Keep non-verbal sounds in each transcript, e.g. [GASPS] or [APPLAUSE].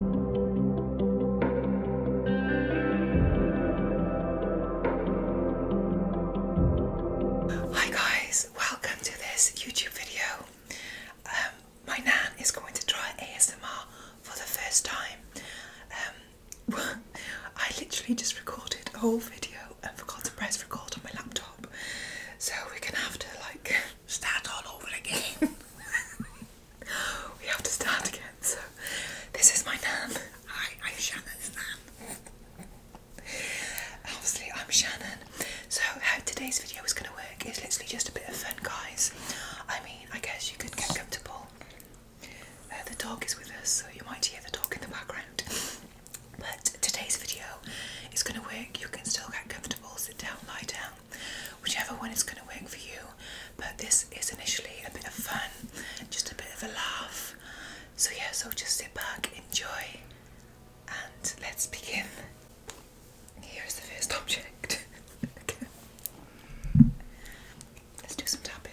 Hi guys, welcome to this YouTube video. Um, my nan is going to try ASMR for the first time. Um, [LAUGHS] I literally just recorded a whole video and forgot to press record on my laptop, so we're gonna have to like [LAUGHS] start all over again. [LAUGHS] we have to start again. So, this is my name. Hi, I'm Shannon's Obviously, I'm Shannon. So, how today's video is going to work is literally just a bit of fun, guys. I mean, I guess you could get comfortable. Uh, the dog is with us, so you might hear the dog in the background. But today's video is going to work. You can still get comfortable, sit down, lie down whichever one is going to work for you. But this is initially a bit of fun, just a bit of a laugh. So, yeah, so just sit back, enjoy, and let's begin. Here's the first object. [LAUGHS] Let's do some tapping.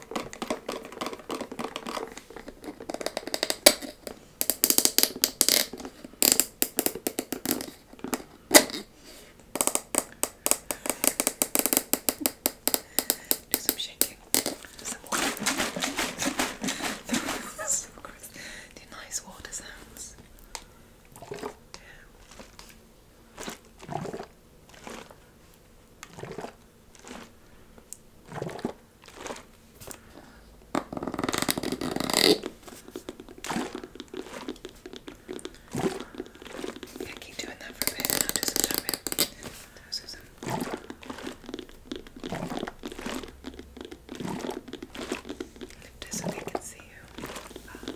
Do some shaking. Some water. so [LAUGHS] Do nice water sounds. Yeah. Yeah, keep doing that for a bit and I'll do some tapping. Those are some. Lift it so they can see you. Um,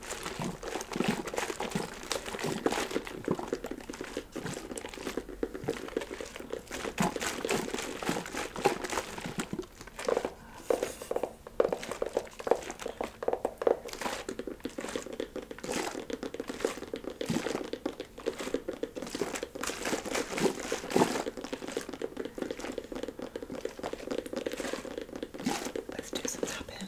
Let's do some tapping.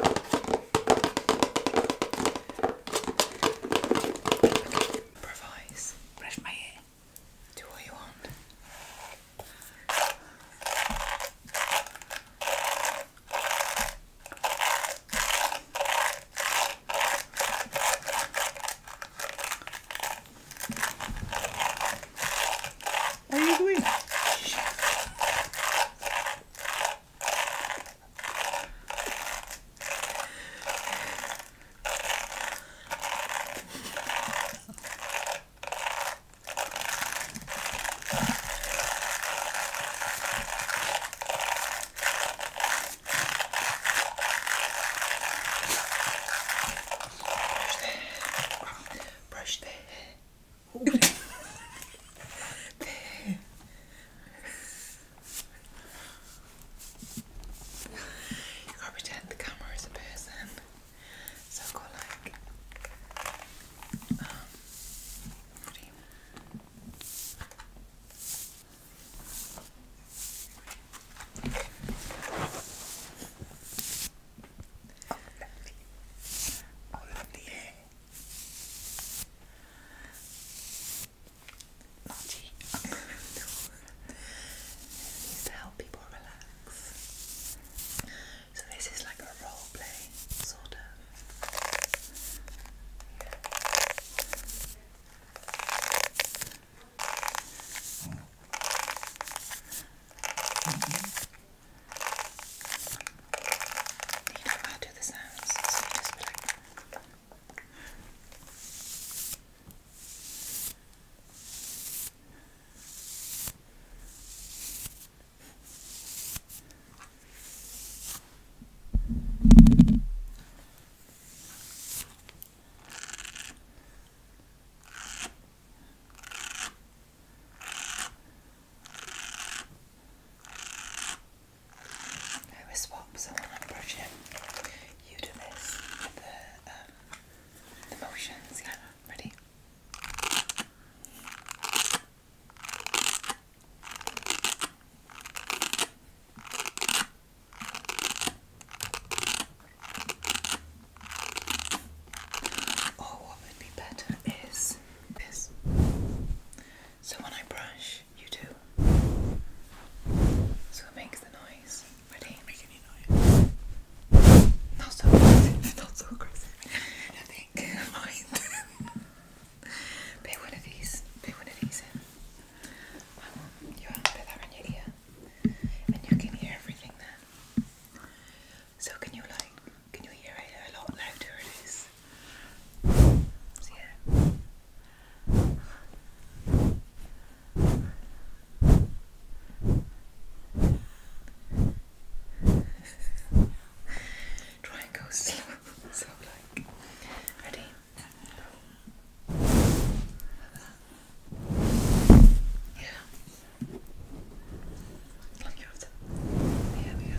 Okay, improvise. Brush my hair. Do what you want. What are you doing? Brush the hair. Brush the hair. You gotta pretend the camera is a person. So go like um ready. Oh lovely. Oh lovely hair. Naughty. It's [LAUGHS] to help people relax. So this is like a role play, sort of. You know how to do the sounds, so you just be like. Okay. I was swap So I want to on it. You do this with the, um, the motion scanner. Ready? Or oh, what would be better is this. So when I brush, you do. So it makes the noise. Ready? Make any noise. Not so aggressive. [LAUGHS] Not so aggressive. I think. [LAUGHS] Mind. Pay [LAUGHS] one of these. Pay one of these in. I want you to put that in your ear. And you can hear everything then. So can you like can you hear it a lot louder? It is. yeah. [LAUGHS] Try and go slow. [LAUGHS] So like, ready? Yeah. Look, you have we go.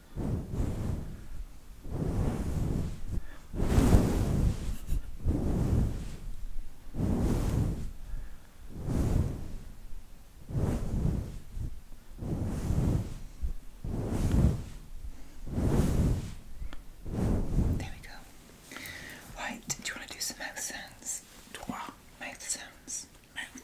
There we go. Right, do you want to do some mouth sounds? Mouth sounds. Mouth.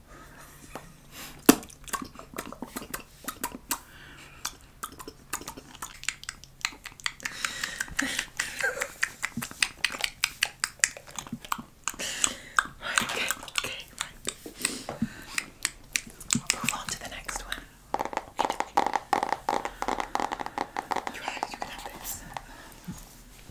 right, okay, okay, right. We'll move on to the next one. You guys, you have this.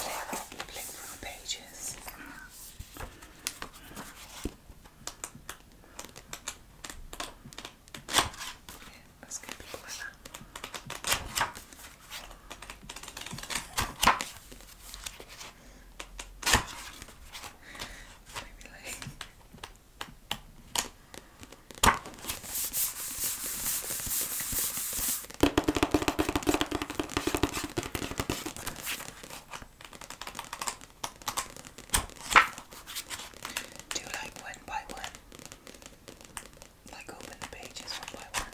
Flip through pages. Mm. That's going to be clever. Maybe like. Do like one by one. Like open the pages one by one.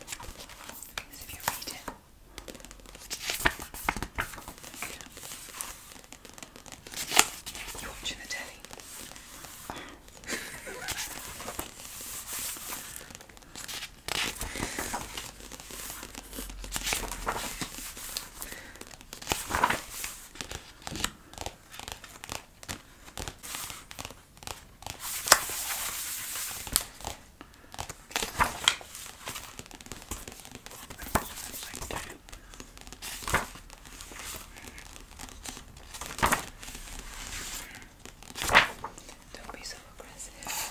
you're watching the telly. [LAUGHS] Don't be so aggressive.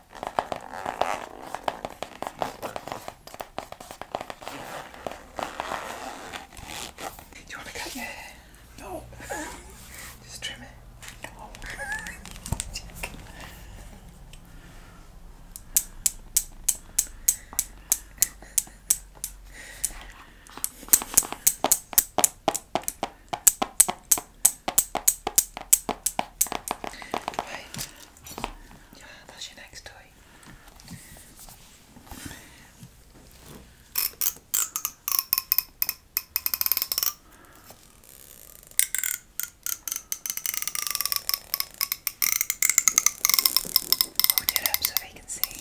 Do you want to cut your hair? No. [LAUGHS] Just trim it. No. [LAUGHS] Right that's your next toy. Hold it up so they can see.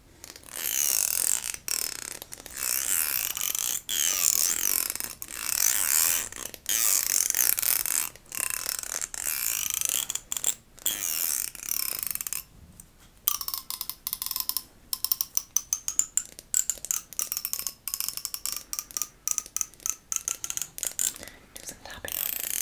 Do some tapping on it.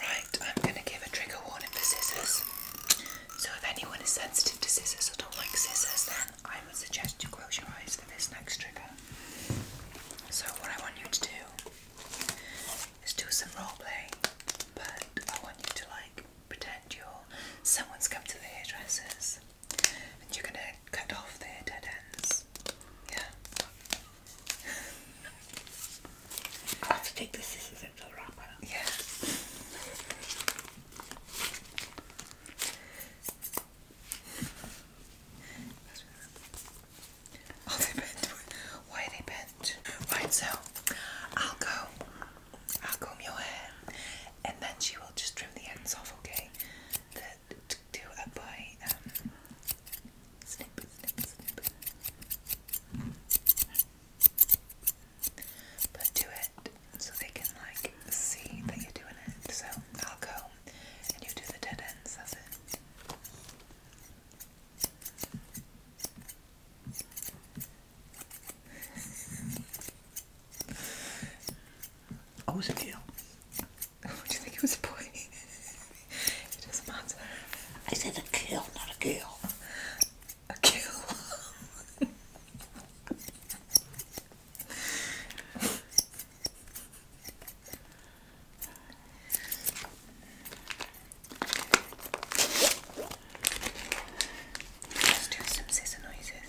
Right, I'm going to give a trigger warning for scissors. So if anyone is sensitive to scissors or don't like scissors, then I would suggest you close your eyes for this next trigger. So what I want you to do is do some role play, but I want you to like pretend you're someone's come to the hairdressers and you're gonna cut off their dead ends. Yeah. I'll have to take the scissors out of the rock. Yeah. Oh, they bent. Why so I'll go. I'll comb your hair, and then she will just trim the ends off. Okay, to do it by um, but do it so they can like see that you're doing it. So I'll go and you do the dead ends, that's it. Oh, was a girl. Oh, do you think it was a boy? [LAUGHS] it is a monster. I said a kill, not a kill. A kill. Let's do some scissor noises.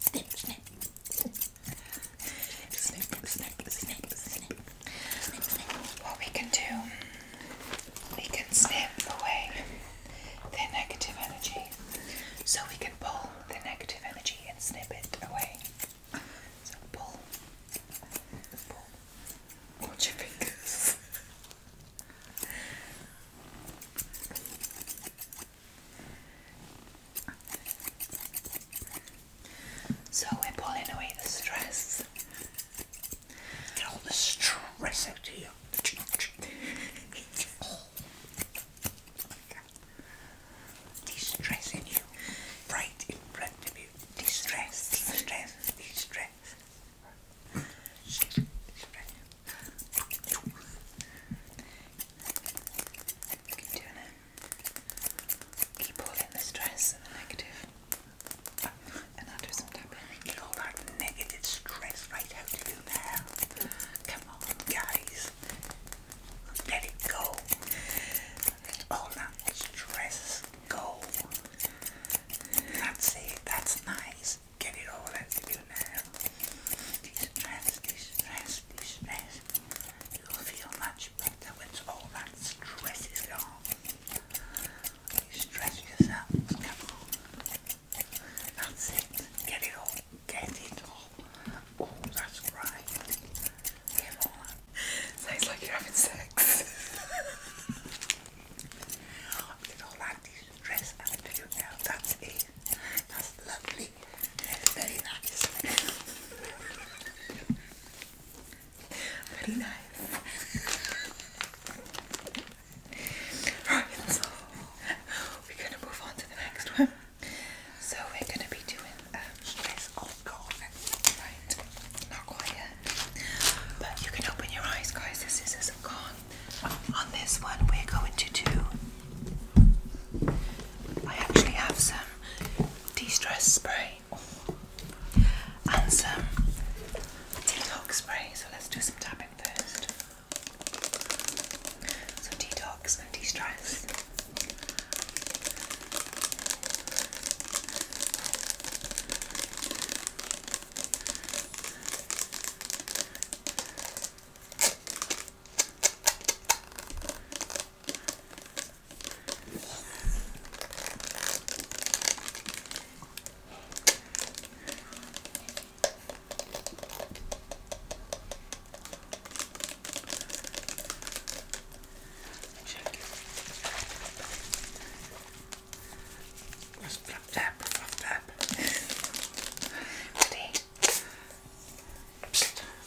Snip, snip. Snip, snip, snip, snip. Snip, snip. What we can do, we can snip away the negative energy. So we can pull the negative energy and snip it away. So pull. Pull. Watch your fingers. So we're pulling away the stress. Get all the stress out of you. all de-stressing you. Right in front of you. De-stress, de-stress, de-stress. Keep all the stress and the and I'll do some tapping. Get all that negative stress right out of you now. Come on, guys. Let it go. Let all that stress go. That's it. That's nice. Get it all out of you now. De-stress, stress stress you will feel much better once all that stress is gone. You stress yourself, come on. That's it. Get it all. Get it all. Oh, that's right. Get like you're having sex. [LAUGHS] Get all that stress out of you now. That's it. That's lovely. Pretty nice. Very so we're gonna move on to the next one. So we're gonna be doing um, Not quite yet. But you can open your eyes guys, this is a con. On this one we're going to do I actually have some de-stress spray and some detox spray, so let's do some tapping first. So detox and de-stress. Check. Just flip tap, flip tap. Ready? [LAUGHS] Psst.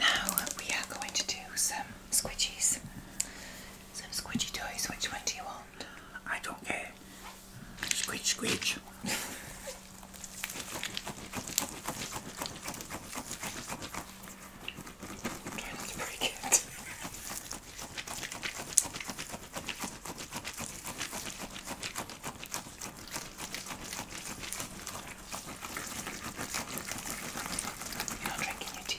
now we are going to do some squidgies. Some squidgey toys. Which one do you want? I don't care. Screech, screech. trying not to break it. You're not drinking your tea.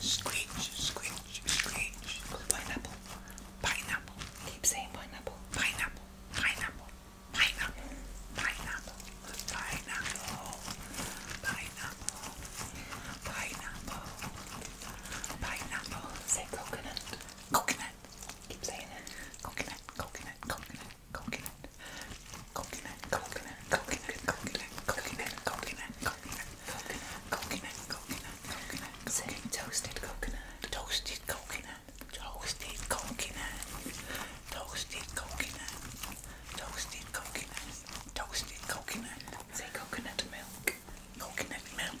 Screech, screech, screech. Pineapple, pineapple. Keep saying pineapple. Pineapple, pineapple, pineapple, pineapple, pineapple, pineapple, pineapple, pineapple. Say coconut. Coconut. Keep saying it. Coconut, coconut, coconut, coconut. Coconut, coconut, coconut, coconut, coconut, coconut, coconut, coconut, coconut, coconut. Say toasted coconut, toasted coconut, toasted coconut, toasted coconut, toasted coconut, toasted coconut. Say coconut milk, coconut milk,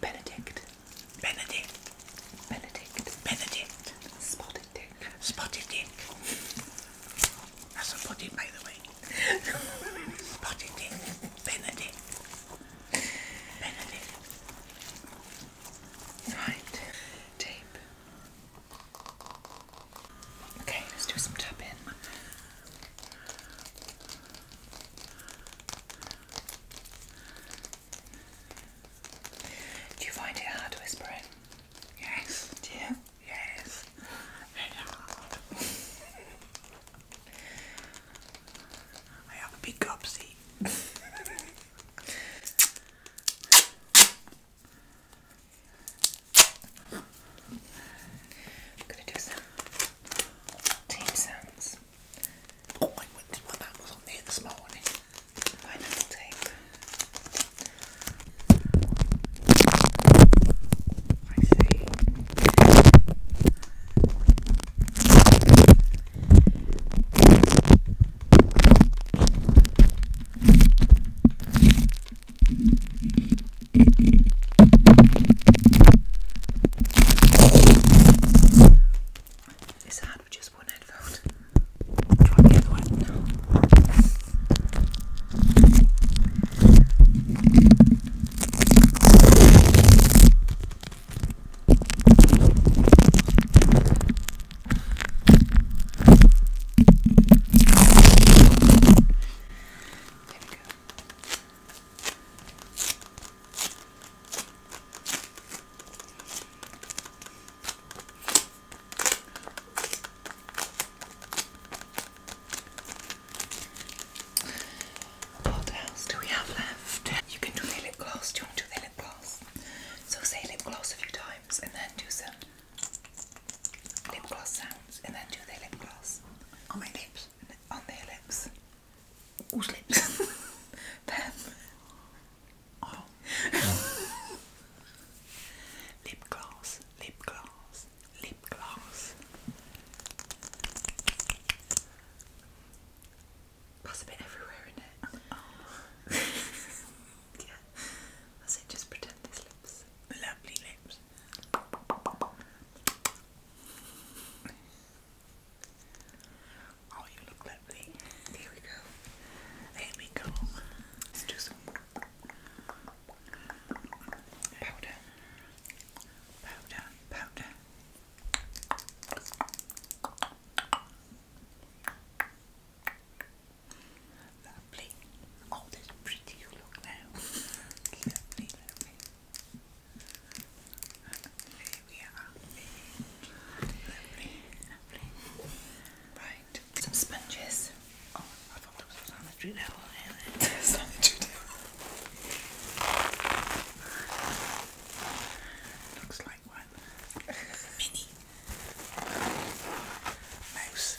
Benedict. Benedict. Benedict. Benedict. Spotted dick. Spotted dick. That's a body, by the way. Spotted dick. Benedict. Benedict. Right. Tape. Okay, let's do some tapping. Do you find it hard whispering? Yes. Do you? Yes. Very hard. I have a big gobsy. I'm gonna do some team sounds. Oh, I went to my mum was on there this morning. Pineapple I see. Is that mad with just one headphone. Try the other one. No. There we go. What else do we have left? You can do the lip gloss. Do you want to do the lip gloss? So say lip gloss a few times and then do some lip gloss sounds and then do the lip gloss on my lips, on their lips. Whose lips? [LAUGHS] Them. Oh. [LAUGHS] lip gloss, lip gloss, lip gloss. That's a bit everywhere, is it? Oh. [LAUGHS] yeah. That's it, just pretend it's lips. Lovely lips. Oh, you look lovely. There we go. There we go. Let's do some powder. Powder, powder. Lovely. Oh, that's pretty you look now. [LAUGHS] lovely, lovely some sponges. Oh, I thought that was a sanitary towel. sanitary towel. Looks like one. [LAUGHS] Mini. Mouse.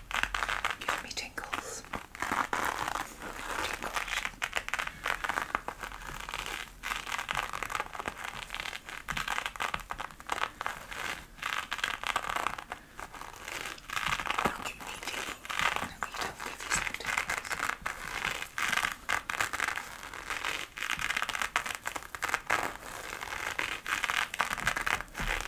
Give me tingles. tingles. Don't give me tingles. No, you don't give me some tingles. Tingles.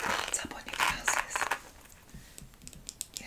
Hold up on your glasses. Yeah.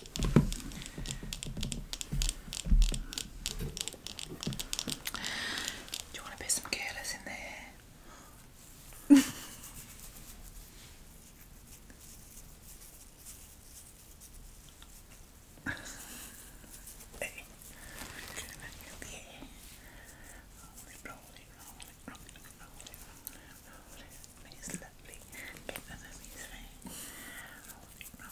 Do you want to put some curlers in there? hey, [LAUGHS] It's lovely. Get that on his face. Roll it, roll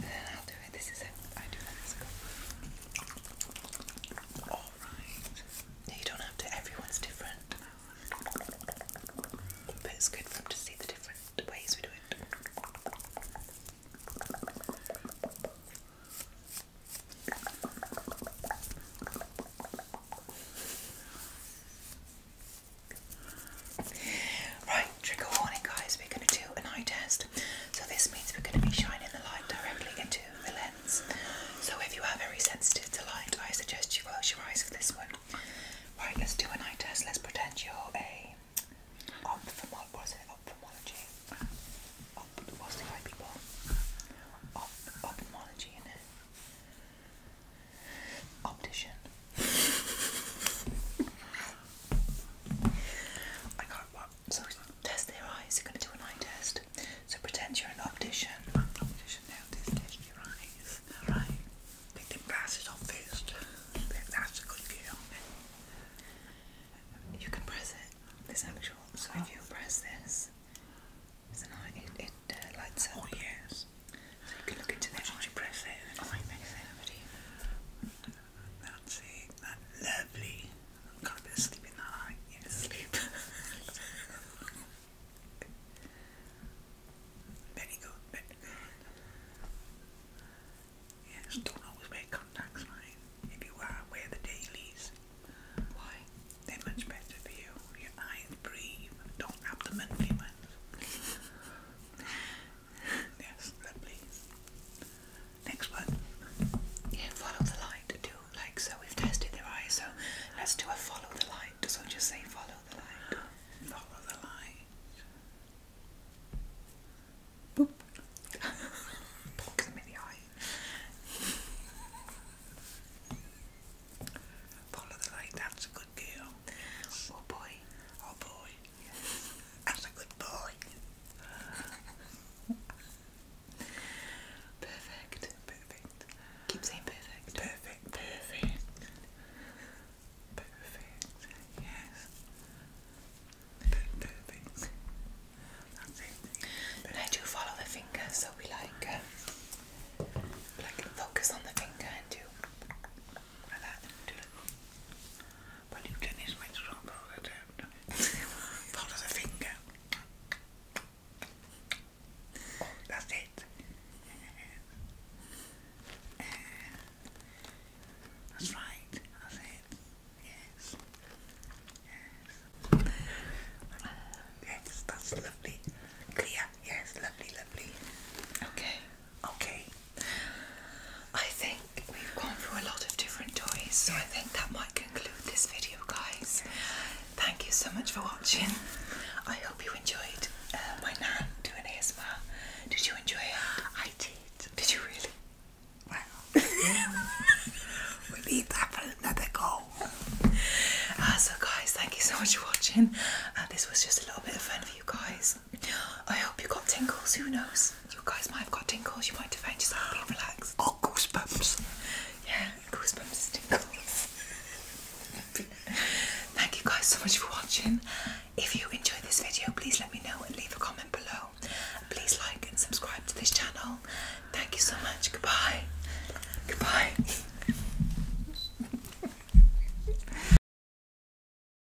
then I'll do it. This is a I do that Alright. you don't have to, everyone's different. But it's good for them to see the different ways we do it. Right, trigger warning, guys. We're going to do an eye test. So this means we're going to be shining the light directly into the lens. So if you are very sensitive to light, I suggest you close your eyes for this one. Right, let's do an eye test. Let's pretend you're a ophthalmologist. What was people? Op ophthalmology, in Optician. I can't what Test their eyes, you're gonna do an eye test. So pretend you're an optician. optician now, test your eyes. Alright. Take them glasses off first. That's a good view. You can press it. This actual so if you press this it, uh, lights up. Oh yes. So you can look into the eye. You press it and it oh, makes that's it. That lovely. i am gonna bit of sleep in that Yes. Sleep. very good, very good. Yes, don't always wear contacts, mate. If you are, wear the dailies. Why? They're much better for you. Your eyes breathe. Don't have the monthly ones yes, lovely. Next one. Yeah, follow the light too. Like so, we've tested their eyes, so let's do a follow the light. just say follow the light. Follow the light. Boop. [LAUGHS] Poke in the eye. Follow the light, that's a good girl. Oh boy. Oh boy. I was a good boy. perfect. Perfect. Keep saying perfect. Perfect. Perfect. Perfect. Yes. Perfect. That's I do follow the finger, so we like, uh, like focus on the finger and do like that. Do it follow [LAUGHS] the finger. that's it. that's right, that's it. Yes. Yes, that's lovely. Clear, yes, lovely, lovely. Okay. Okay. I think we've gone through a lot of different toys, so I think that might conclude this video, guys. Thank you so much for watching. I hope you enjoyed uh, my nan doing ASMR. Did you enjoy it? I did. Did you really? Wow. [LAUGHS] we'll leave that for another goal. Uh, so, guys, thank you so much for watching. Uh, this was just a little bit of fun for you guys tingles. [GASPS] I hope you got tingles. Who knows? You guys might have got tingles. You might have found yourself being relaxed. Oh, goosebumps! Yeah, goosebumps, tingles. [LAUGHS] Thank you guys so much for watching. If you enjoyed this video, please let me know and leave a comment below. Please like and subscribe to this channel. Thank you so much. Goodbye. Goodbye. [LAUGHS]